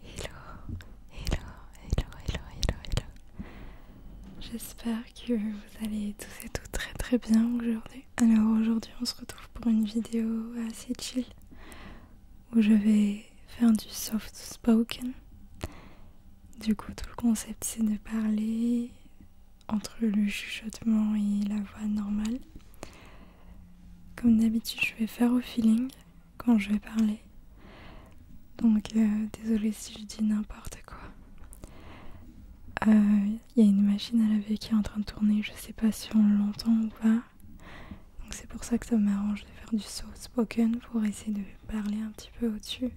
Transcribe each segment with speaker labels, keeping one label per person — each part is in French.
Speaker 1: Hello, hello, hello, hello, hello, hello. J'espère que vous allez tous et toutes très très bien aujourd'hui. Alors aujourd'hui on se retrouve pour une vidéo assez chill où je vais faire du soft spoken. Du coup tout le concept c'est de parler entre le chuchotement et la voix normale. Comme d'habitude je vais faire au feeling quand je vais parler. Donc désolé euh, désolée si je dis n'importe quoi. Il euh, y a une machine à laver qui est en train de tourner, je sais pas si on l'entend ou pas. Donc c'est pour ça que ça m'arrange de faire du saut spoken pour essayer de parler un petit peu au-dessus.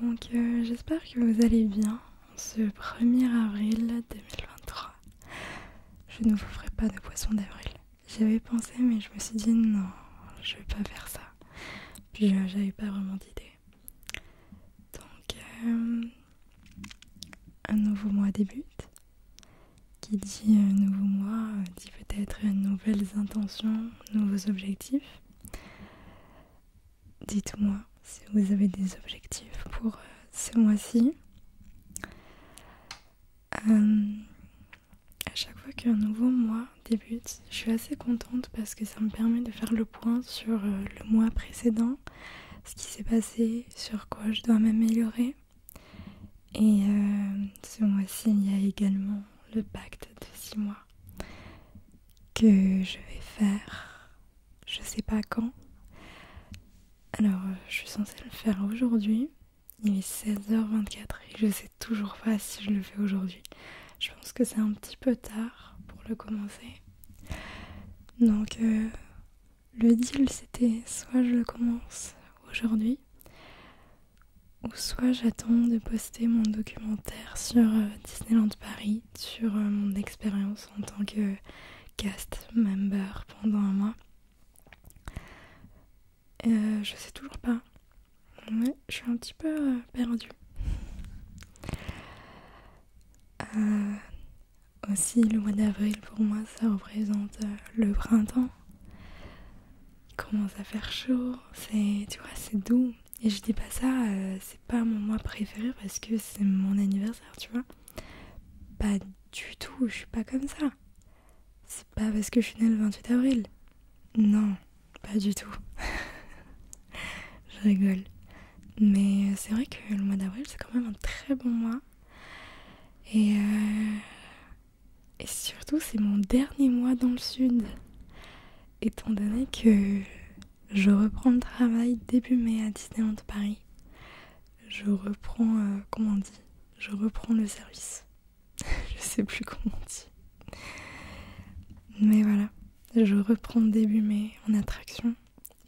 Speaker 1: Donc euh, j'espère que vous allez bien ce 1er avril 2023. Je ne vous ferai pas de poisson d'avril. J'avais pensé, mais je me suis dit non, je vais pas faire ça. Puis euh, j'avais pas vraiment d'idée. Donc, euh, un nouveau mois débute. Qui dit un euh, nouveau mois dit peut-être nouvelles intentions, nouveaux objectifs. Dites-moi si vous avez des objectifs pour ce mois-ci. A euh, à chaque fois qu'un nouveau mois débute, je suis assez contente parce que ça me permet de faire le point sur euh, le mois précédent, ce qui s'est passé, sur quoi je dois m'améliorer. Et euh, ce mois-ci, il y a également le pacte de 6 mois que je vais faire, je sais pas quand. Alors, je suis censée le faire aujourd'hui, il est 16h24 et je sais toujours pas si je le fais aujourd'hui. Je pense que c'est un petit peu tard pour le commencer. Donc euh, le deal c'était soit je le commence aujourd'hui ou soit j'attends de poster mon documentaire sur euh, Disneyland Paris, sur euh, mon expérience en tant que cast member pendant un mois. Euh, je sais toujours pas. je suis un petit peu euh, perdue. Euh, aussi, le mois d'avril pour moi, ça représente le printemps. Il commence à faire chaud, c'est, tu c'est doux. Et je dis pas ça, c'est pas mon mois préféré parce que c'est mon anniversaire, tu vois. Pas du tout, je suis pas comme ça c'est pas parce que je suis née le 28 avril. Non, pas du tout. je rigole. Mais euh, c'est vrai que le mois d'avril, c'est quand même un très bon mois. Euh, et, surtout, c'est mon dernier mois dans le sud. Étant donné que je reprends le travail début mai à Disneyland Paris je reprends, euh, comment on dit Je reprends le service. je sais plus comment on dit. Mais voilà, je reprends début mai en attraction.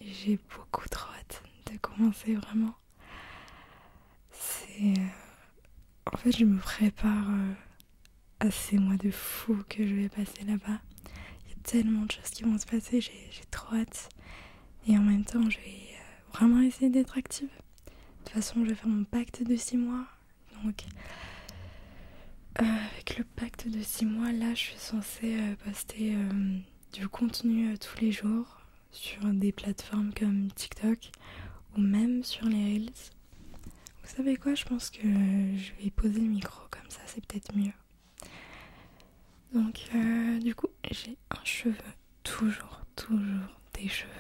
Speaker 1: J'ai beaucoup trop hâte de commencer vraiment. C'est... Euh, en fait, je me prépare euh, à ces mois de fou que je vais passer là-bas. Il y a tellement de choses qui vont se passer, j'ai trop hâte. Et en même temps, je vais vraiment essayer d'être active. De toute façon, je vais faire mon pacte de 6 mois. Donc, euh, avec le pacte de 6 mois, là, je suis censée euh, poster euh, du contenu tous les jours sur des plateformes comme TikTok ou même sur les Reels. Vous savez quoi Je pense que je vais poser le micro comme ça, c'est peut-être mieux. Donc, du coup, j'ai un cheveu toujours, toujours des cheveux.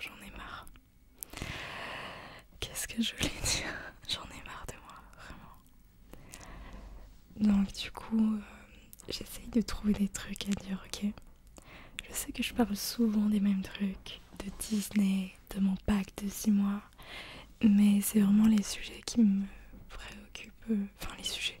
Speaker 1: J'en ai marre. Qu'est-ce que je voulais dire J'en ai marre de moi, vraiment. Donc du coup, euh, j'essaye de trouver des trucs à dire, ok Je sais que je parle souvent des mêmes trucs, de Disney, de mon pack de 6 mois, mais c'est vraiment les sujets qui me préoccupent, euh, enfin les sujets,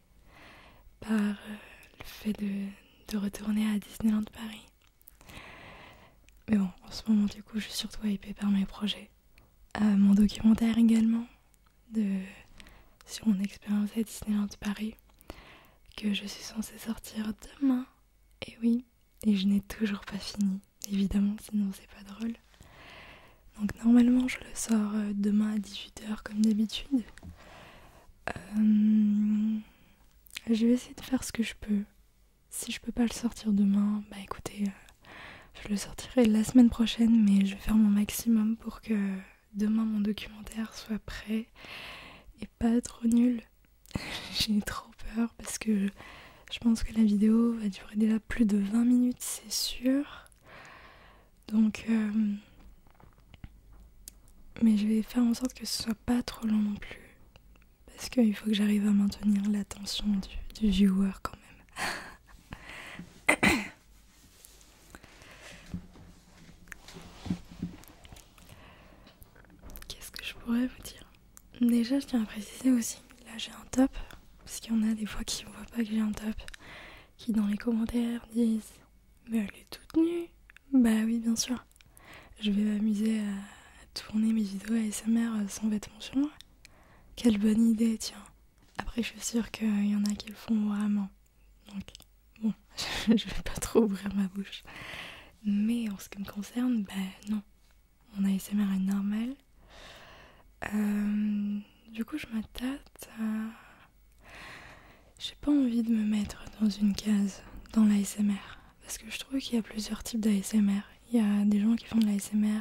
Speaker 1: par euh, le fait de, retourner à Disneyland Paris. Mais bon, en ce moment, du coup, je suis surtout hypée par mes projets. Euh, mon documentaire également, de, sur mon expérience à Disneyland Paris, que je suis censée sortir demain. Et oui, et je n'ai toujours pas fini, évidemment, sinon c'est pas drôle. Donc normalement, je le sors euh, demain à 18h comme d'habitude. Euh, je vais essayer de faire ce que je peux. Si je peux pas le sortir demain, bah écoutez, euh, je le sortirai la semaine prochaine, mais je vais faire mon maximum pour que demain mon documentaire soit prêt et pas trop nul. J'ai trop peur parce que je pense que la vidéo va durer déjà plus de 20 minutes, c'est sûr. Donc, euh, mais je vais faire en sorte que ce soit pas trop long non plus, parce qu'il faut que j'arrive à maintenir l'attention du, du viewer quand même. Qu'est-ce que je pourrais vous dire Déjà, je tiens à préciser aussi, là j'ai un top, parce qu'il y en a des fois qui ne voient pas que j'ai un top, qui dans les commentaires disent mais elle est toute nue Bah oui, bien sûr. Je vais m'amuser à tourner mes vidéos ASMR sans vêtements sur moi. Quelle bonne idée, tiens. Après, je suis sûre qu'il y en a qui le font vraiment. Donc, bon, je vais pas trop ouvrir ma bouche. Mais en ce qui me concerne, bah non. Mon ASMR est normal. Euh, du coup, je m'attate à j'ai pas envie de me mettre dans une case dans l'ASMR parce que je trouve qu'il y a plusieurs types d'ASMR. Il y a des gens qui font de l'ASMR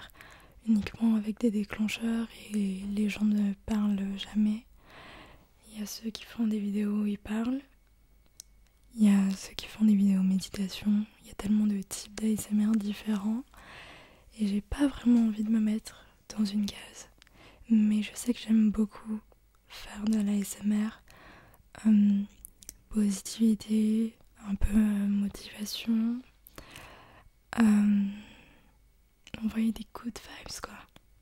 Speaker 1: uniquement avec des déclencheurs et les gens ne parlent jamais. Il y a ceux qui font des vidéos où ils parlent. Il y a ceux qui font des vidéos méditation. Il y a tellement de types d'ASMR différents. Et j'ai pas vraiment envie de me mettre dans une case. Mais je sais que j'aime beaucoup faire de l'ASMR. Euh, hum, positivité, un peu euh, motivation. Hum, envoyer des coups de vibes, quoi.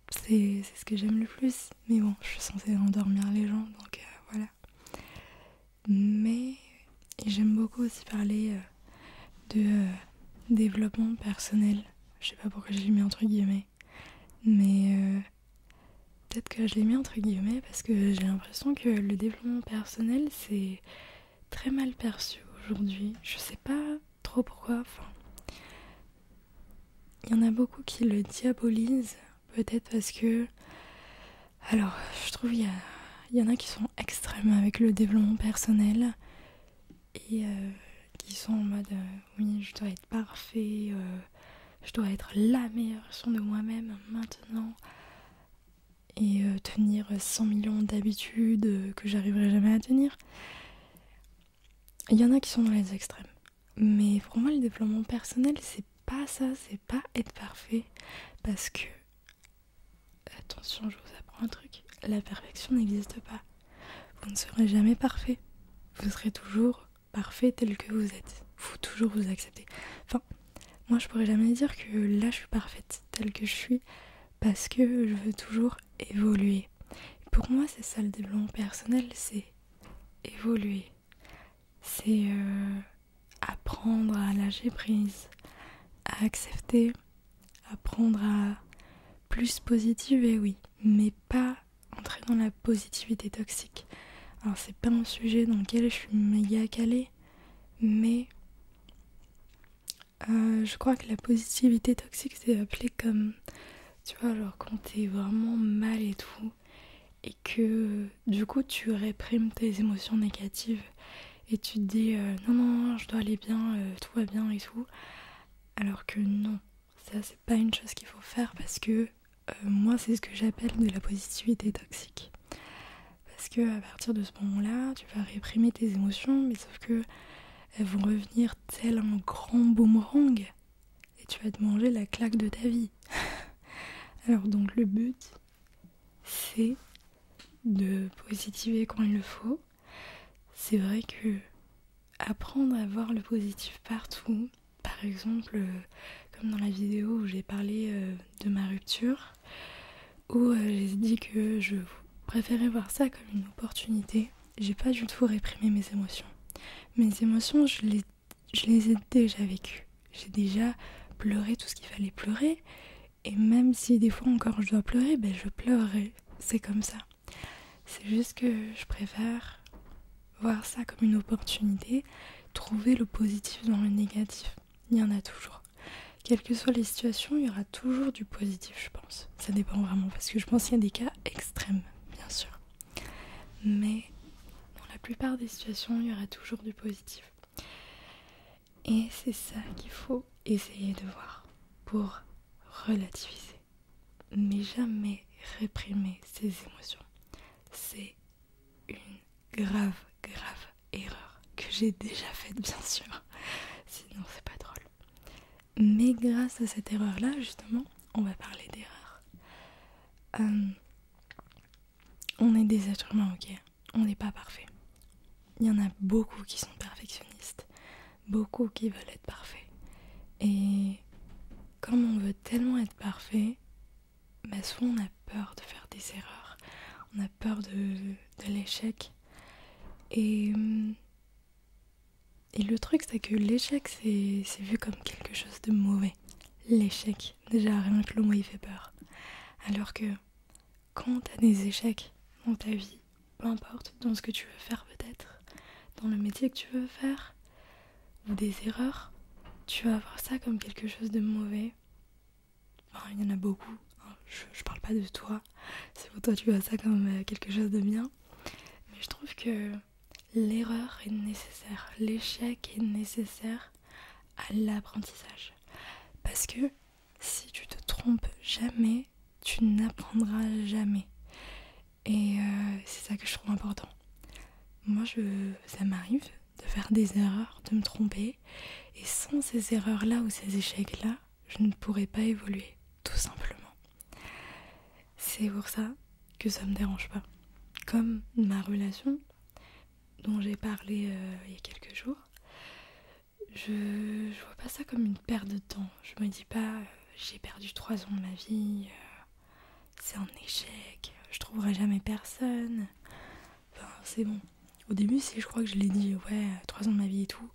Speaker 1: C'est ce que j'aime le plus. Mais bon, je suis censée endormir les gens, donc euh, voilà. Mais j'aime beaucoup aussi parler euh, de développement personnel. Je sais pas pourquoi j'ai mis entre guillemets. Mais euh, peut-être que je l'ai mis entre guillemets parce que j'ai l'impression que le développement personnel c'est très mal perçu aujourd'hui. Je sais pas trop pourquoi. Enfin, il y en a beaucoup qui le diabolisent. Peut-être parce que. Alors, je trouve qu'il y, y en a qui sont extrêmes avec le développement personnel et euh, qui sont en mode euh, oui je dois être parfait, euh, je dois être la meilleure version de moi-même maintenant et tenir 100 millions d'habitudes que j'arriverai jamais à tenir. Il y en a qui sont dans les extrêmes. Mais pour moi le développement personnel c'est pas ça, c'est pas être parfait parce que attention je vous apprends un truc, la perfection n'existe pas. Vous ne serez jamais parfait. Vous serez toujours parfait tel que vous êtes. Vous toujours vous acceptez. Enfin, moi je pourrais jamais dire que là je suis parfaite telle que je suis parce que je veux toujours évoluer. pour moi, c'est ça le développement personnel, c'est évoluer. C'est euh, apprendre à lâcher prise, à accepter, apprendre à plus et oui mais pas entrer dans la positivité toxique. Alors c'est pas un sujet dans lequel je suis méga calée, mais euh, je crois que la positivité toxique c'est appelé comme, tu vois, alors quand t'es vraiment mal et tout, et que du coup tu réprimes tes émotions négatives et tu te dis euh, non non je dois aller bien, euh, tout va bien et tout, alors que non, ça, c'est pas une chose qu'il faut faire parce que euh, moi, c'est ce que j'appelle de la positivité toxique. Parce que à partir de ce moment-là, tu vas réprimer tes émotions, mais sauf que elles vont revenir tel un grand boomerang et tu vas te manger la claque de ta vie. Alors donc le but, c'est de positiver quand il le faut, c'est vrai que apprendre à voir le positif partout, par exemple, euh, comme dans la vidéo où j'ai parlé euh, de ma rupture, où euh, j'ai dit que je préférais voir ça comme une opportunité, j'ai pas du tout réprimé mes émotions. Mes émotions, je les, je les ai déjà vécues. J'ai déjà pleuré tout ce qu'il fallait pleurer. Et même si des fois encore je dois pleurer, ben je pleurerai. C'est comme ça. C'est juste que je préfère voir ça comme une opportunité, trouver le positif dans le négatif. Il y en a toujours. Quelles que soient les situations, il y aura toujours du positif, je pense. Ça dépend vraiment, parce que je pense qu'il y a des cas extrêmes, bien sûr. Mais dans la plupart des situations, il y aura toujours du positif. Et c'est ça qu'il faut essayer de voir pour relativiser mais jamais réprimer ses émotions. C'est une grave, grave erreur que j'ai déjà faite, bien sûr. Sinon, c'est pas drôle. Mais grâce à cette erreur-là, justement, on va parler d'erreur. Euh, on est des êtres humains, ok On n'est pas parfait. Il y en a beaucoup qui sont perfectionnistes beaucoup qui veulent être parfaits. Et comme on veut tellement être parfait, mais ben, souvent on a peur de faire des erreurs, on a peur de, l'échec. Et, et le truc, c'est que l'échec, c'est vu comme quelque chose de mauvais. L'échec, déjà rien que le mot, il fait peur. Alors que quand t'as des échecs dans ta vie, peu importe, dans ce que tu veux faire peut-être, dans le métier que tu veux faire, ou des erreurs, tu vas voir ça comme quelque chose de mauvais. il y en a beaucoup, hein. je, ne parle pas de toi, c'est pour toi tu vois ça comme euh, quelque chose de bien. Mais je trouve que l'erreur est nécessaire, l'échec est nécessaire à l'apprentissage. Parce que si tu te trompes jamais, tu n'apprendras jamais. Et euh, c'est ça que je trouve important. Moi, je, ça m'arrive de faire des erreurs, de me tromper. Et sans ces erreurs-là ou ces échecs-là, je ne pourrais pas évoluer, tout simplement. C'est pour ça que ça me dérange pas. Comme ma relation dont j'ai parlé euh, il y a quelques jours, je, je vois pas ça comme une perde de temps. Je me dis pas euh, j'ai perdu trois ans de ma vie, euh, c'est un échec, je trouverai jamais personne. Enfin, c'est bon. Au début, c'est, je crois que je l'ai dit, ouais, euh, trois ans de ma vie et tout.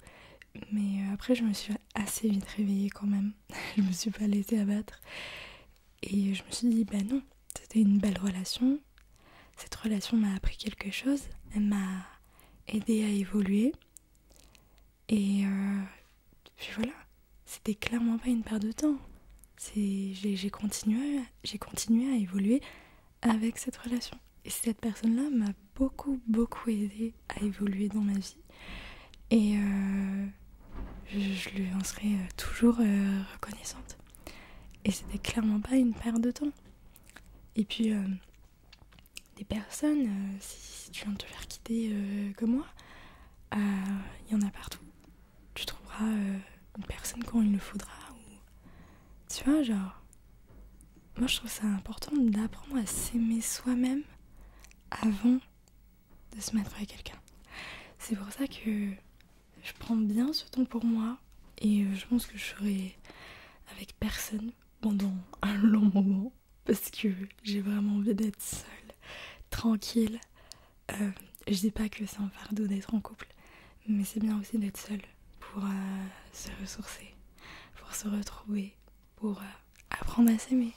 Speaker 1: Mais après, je me suis assez vite réveillée quand même. je me suis pas laissée abattre. Et je me suis dit, bah non, c'était une belle relation. Cette relation m'a appris quelque chose. Elle m'a aidé à évoluer. Et euh, puis voilà, c'était clairement pas une perte de temps. J'ai continué, continué à évoluer avec cette relation. Et cette personne-là m'a beaucoup, beaucoup aidé à évoluer dans ma vie. Et euh, je, lui en serai toujours euh, reconnaissante. Et c'était clairement pas une perte de temps. Et puis, des personnes, euh, si, tu viens de te faire quitter euh, comme moi, il euh, y en a partout. Tu trouveras une personne quand il le faudra. Ou... Tu vois, genre, moi je trouve ça important d'apprendre à s'aimer soi-même avant de se mettre avec quelqu'un. C'est pour ça que je prends bien ce temps pour moi et je pense que je serai avec personne pendant un long moment parce que j'ai vraiment envie d'être seule, tranquille. Euh, je dis pas que c'est un fardeau d'être en couple, mais c'est bien aussi d'être seule pour euh, se ressourcer, pour se retrouver, pour euh, apprendre à s'aimer.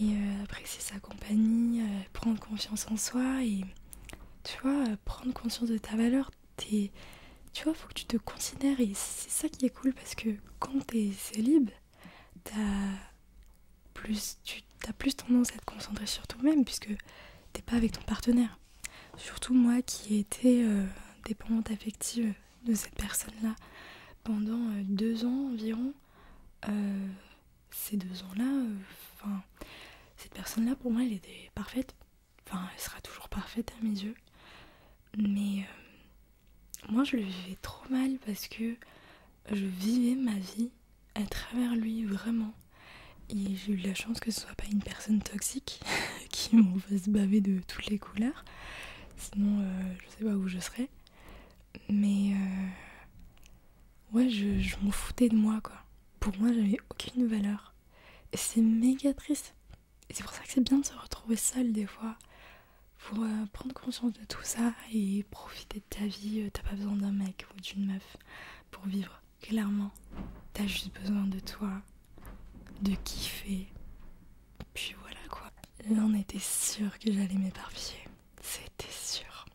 Speaker 1: Et apprécier sa compagnie, prendre confiance en soi et tu vois, prendre conscience de ta valeur. tu vois, faut que tu te considères et c'est ça qui est cool parce que quand t'es célib, t'as plus, tu as plus tendance à te concentrer sur toi-même puisque t'es pas avec ton partenaire. Surtout moi qui ai été euh, dépendante affective de cette personne-là pendant euh, deux ans environ. Euh, ces deux ans-là, enfin, cette personne-là pour moi elle était parfaite. Enfin, elle sera toujours parfaite à mes yeux. Mais moi je le vivais trop mal parce que je vivais ma vie à travers lui vraiment. Et j'ai eu la chance que ce soit pas une personne toxique qui m'en fasse baver de toutes les couleurs. Sinon, euh, je sais pas où je serais. Mais euh, ouais, je, m'en foutais de moi quoi. Pour moi, j'avais aucune valeur. Et c'est méga triste. Et c'est pour ça que c'est bien de se retrouver seul des fois pour euh, prendre conscience de tout ça et profiter de ta vie. Euh, t'as pas besoin d'un mec ou d'une meuf pour vivre, clairement. T'as juste besoin de toi, de kiffer. Puis voilà quoi. Là, on était sûr que j'allais m'éparpiller. C'était sûr.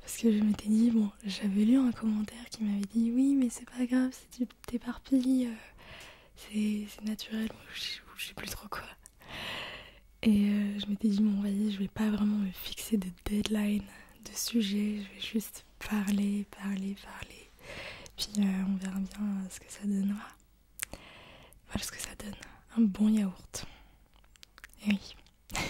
Speaker 1: Parce que je m'étais dit, bon, j'avais lu un commentaire qui m'avait dit Oui, mais c'est pas grave si tu t'éparpilles. Euh, c'est naturel, je, sais plus trop quoi. Et euh, je m'étais dit, bon, vas je vais pas vraiment me fixer de deadline, de sujet, je vais juste parler, parler, parler. Puis euh, on verra bien euh, ce que ça donnera. Voilà ce que ça donne. Un bon yaourt. Et oui.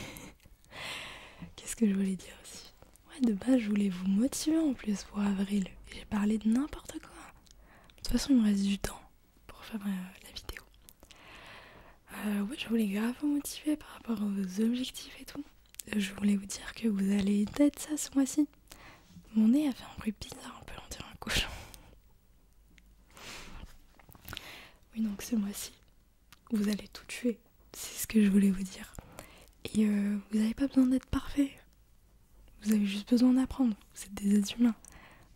Speaker 1: Qu'est-ce que je voulais dire aussi Ouais, de base, je voulais vous motiver en plus pour avril. J'ai parlé de n'importe quoi. De toute façon, il me reste du temps pour faire euh, la vidéo. Euh, je voulais grave vous motiver par rapport aux objectifs et tout. Euh, je voulais vous dire que vous allez être ça ce mois-ci. Mon nez a fait un bruit bizarre, on peut en dire un cochon. Oui, donc ce mois-ci, vous allez tout tuer. C'est ce que je voulais vous dire. Et vous n'avez pas besoin d'être parfait. Vous avez juste besoin d'apprendre. Vous êtes des êtres humains.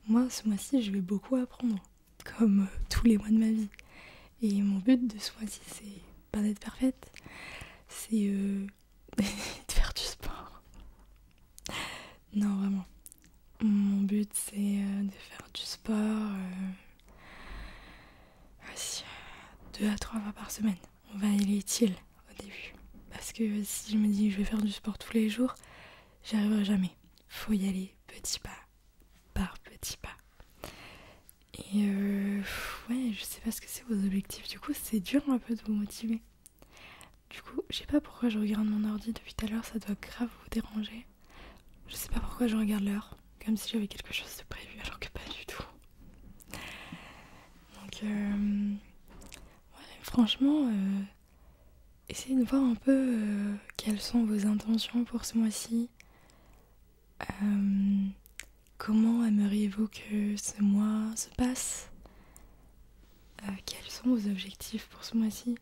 Speaker 1: Moi, ce mois-ci, je vais beaucoup apprendre, comme euh, tous les mois de ma vie. Et mon but de ce mois-ci, c'est pas d'être parfaite, c'est euh, de faire du sport. Non, vraiment. Mon but, c'est euh, de faire du sport deux à trois fois par semaine on va aller t'il au début. Parce que si je me dis je vais faire du sport tous les jours, j'y arriverai jamais. Faut y aller petit pas par petit pas. Et euh, ouais, je sais pas ce que c'est vos objectifs. Du coup, c'est dur un peu de vous motiver. Du coup, je sais pas pourquoi je regarde mon ordi depuis tout à l'heure, ça doit grave vous déranger. Je sais pas pourquoi je regarde l'heure, comme si j'avais quelque chose de prévu alors que pas du tout. Donc, euh, franchement, euh, essayez de voir un peu euh, quelles sont vos intentions pour ce mois-ci. Euh, comment aimeriez-vous que ce mois se passe Quels sont vos objectifs pour ce mois-ci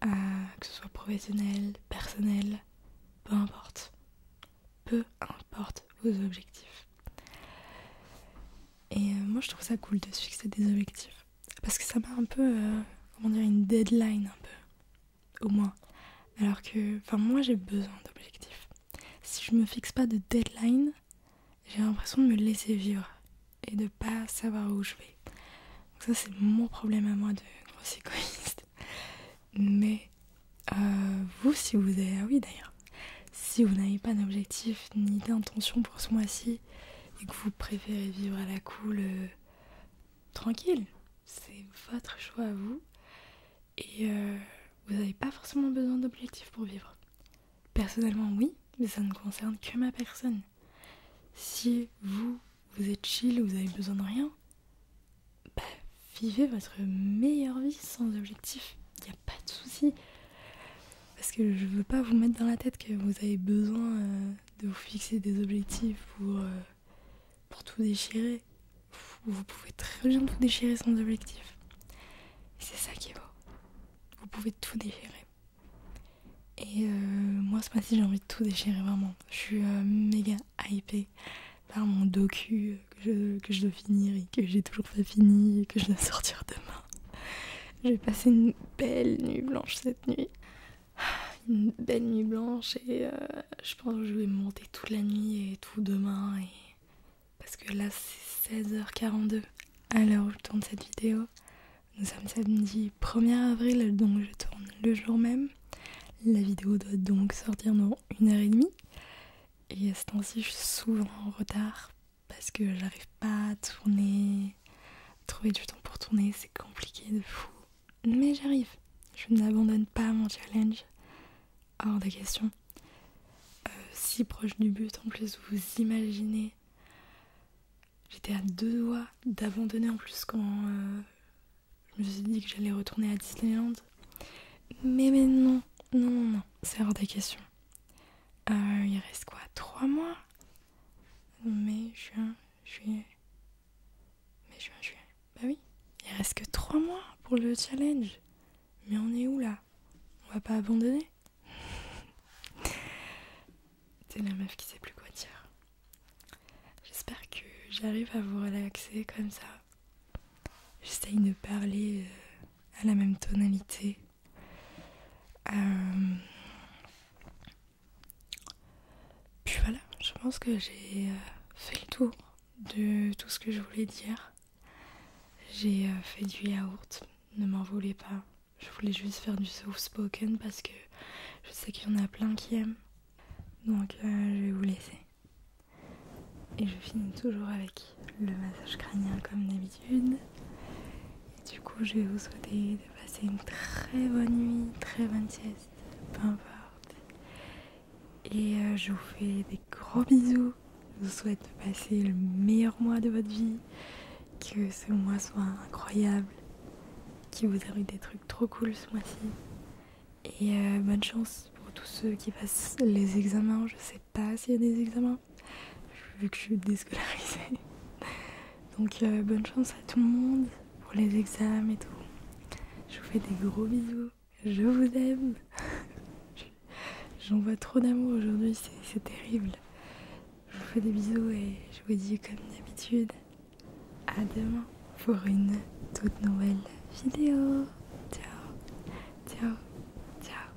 Speaker 1: Que ce soit professionnel, personnel, peu importe. Peu importe vos objectifs. Et euh, moi je trouve ça cool de se fixer des objectifs. Parce que ça m'a un peu, euh, comment dire, une deadline un peu. Au moins. Alors que, enfin moi j'ai besoin d'objectifs. Si je me fixe pas de deadline, j'ai l'impression de me laisser vivre et de pas savoir où je vais. Donc ça c'est mon problème à moi de grosse égoïste. Mais euh, vous si vous avez... Ah oui d'ailleurs. Si vous n'avez pas d'objectif ni d'intention pour ce mois-ci et que vous préférez vivre à la cool, euh, tranquille, c'est votre choix à vous. Et euh, vous n'avez pas forcément besoin d'objectifs pour vivre. Personnellement, oui, mais ça ne concerne que ma personne. Si vous, vous êtes chill, vous avez besoin de rien, bah, vivez votre meilleure vie sans objectif pas de soucis. Parce que je veux pas vous mettre dans la tête que vous avez besoin euh, de vous fixer des objectifs pour, euh, tout déchirer. Vous, pouvez très bien tout déchirer sans objectif. c'est ça qui est beau. Vous pouvez tout déchirer. Et euh, moi, ce matin j'ai envie de tout déchirer, vraiment. Je suis méga hypée par mon docu que que je dois finir et que j'ai toujours pas fini et que je dois sortir demain. Je vais passer une belle nuit blanche cette nuit. Une belle nuit blanche et euh, je pense que je vais monter toute la nuit et tout demain. Et... Parce que là c'est 16h42 à l'heure où je tourne cette vidéo. Nous sommes samedi 1er avril donc je tourne le jour même. La vidéo doit donc sortir dans une heure et demie. Et à ce temps-ci je suis souvent en retard parce que j'arrive pas à tourner. Trouver du temps pour tourner, c'est compliqué de fou. Mais j'arrive. Je n'abandonne pas mon challenge. Hors des questions. Euh, si proche du but en plus, vous imaginez. J'étais à deux doigts d'abandonner en plus quand euh, je me suis dit que j'allais retourner à Disneyland. Mais maintenant, non, non, non, c'est hors des questions. Euh, il reste quoi Trois mois Mai, juin, juillet. Mai, juin, juillet. Bah oui, il reste que trois mois pour le challenge. Mais on est où là On va pas abandonner C'est la meuf qui sait plus quoi dire. J'espère que j'arrive à vous relaxer comme ça. J'essaye de parler euh, à la même tonalité euh, puis voilà, je pense que j'ai euh, fait le tour de tout ce que je voulais dire. J'ai euh, fait du yaourt, ne m'en voulez pas. Je voulais juste faire du soft spoken parce que je sais qu'il y en a plein qui aiment. Donc je vais vous laisser. Et je finis toujours avec le massage crânien comme d'habitude. du coup, je vais vous souhaiter de passer une très bonne nuit, très bonne sieste, peu importe. Et euh, je vous fais des gros bisous. Je vous souhaite de passer le meilleur mois de votre vie, que ce mois soit incroyable, qu'il vous arrive des trucs trop cool ce mois-ci. Et euh, bonne chance pour tous ceux qui passent les examens. Je sais pas s'il y a des examens vu que je suis déscolarisée. Donc euh, bonne chance à tout le monde pour les examens et tout. Je vous fais des gros bisous. Je vous aime. j'en vois trop d'amour aujourd'hui, c'est terrible. Je vous fais des bisous et je vous dis comme d'habitude, à demain pour une toute nouvelle vidéo. Ciao, ciao, ciao.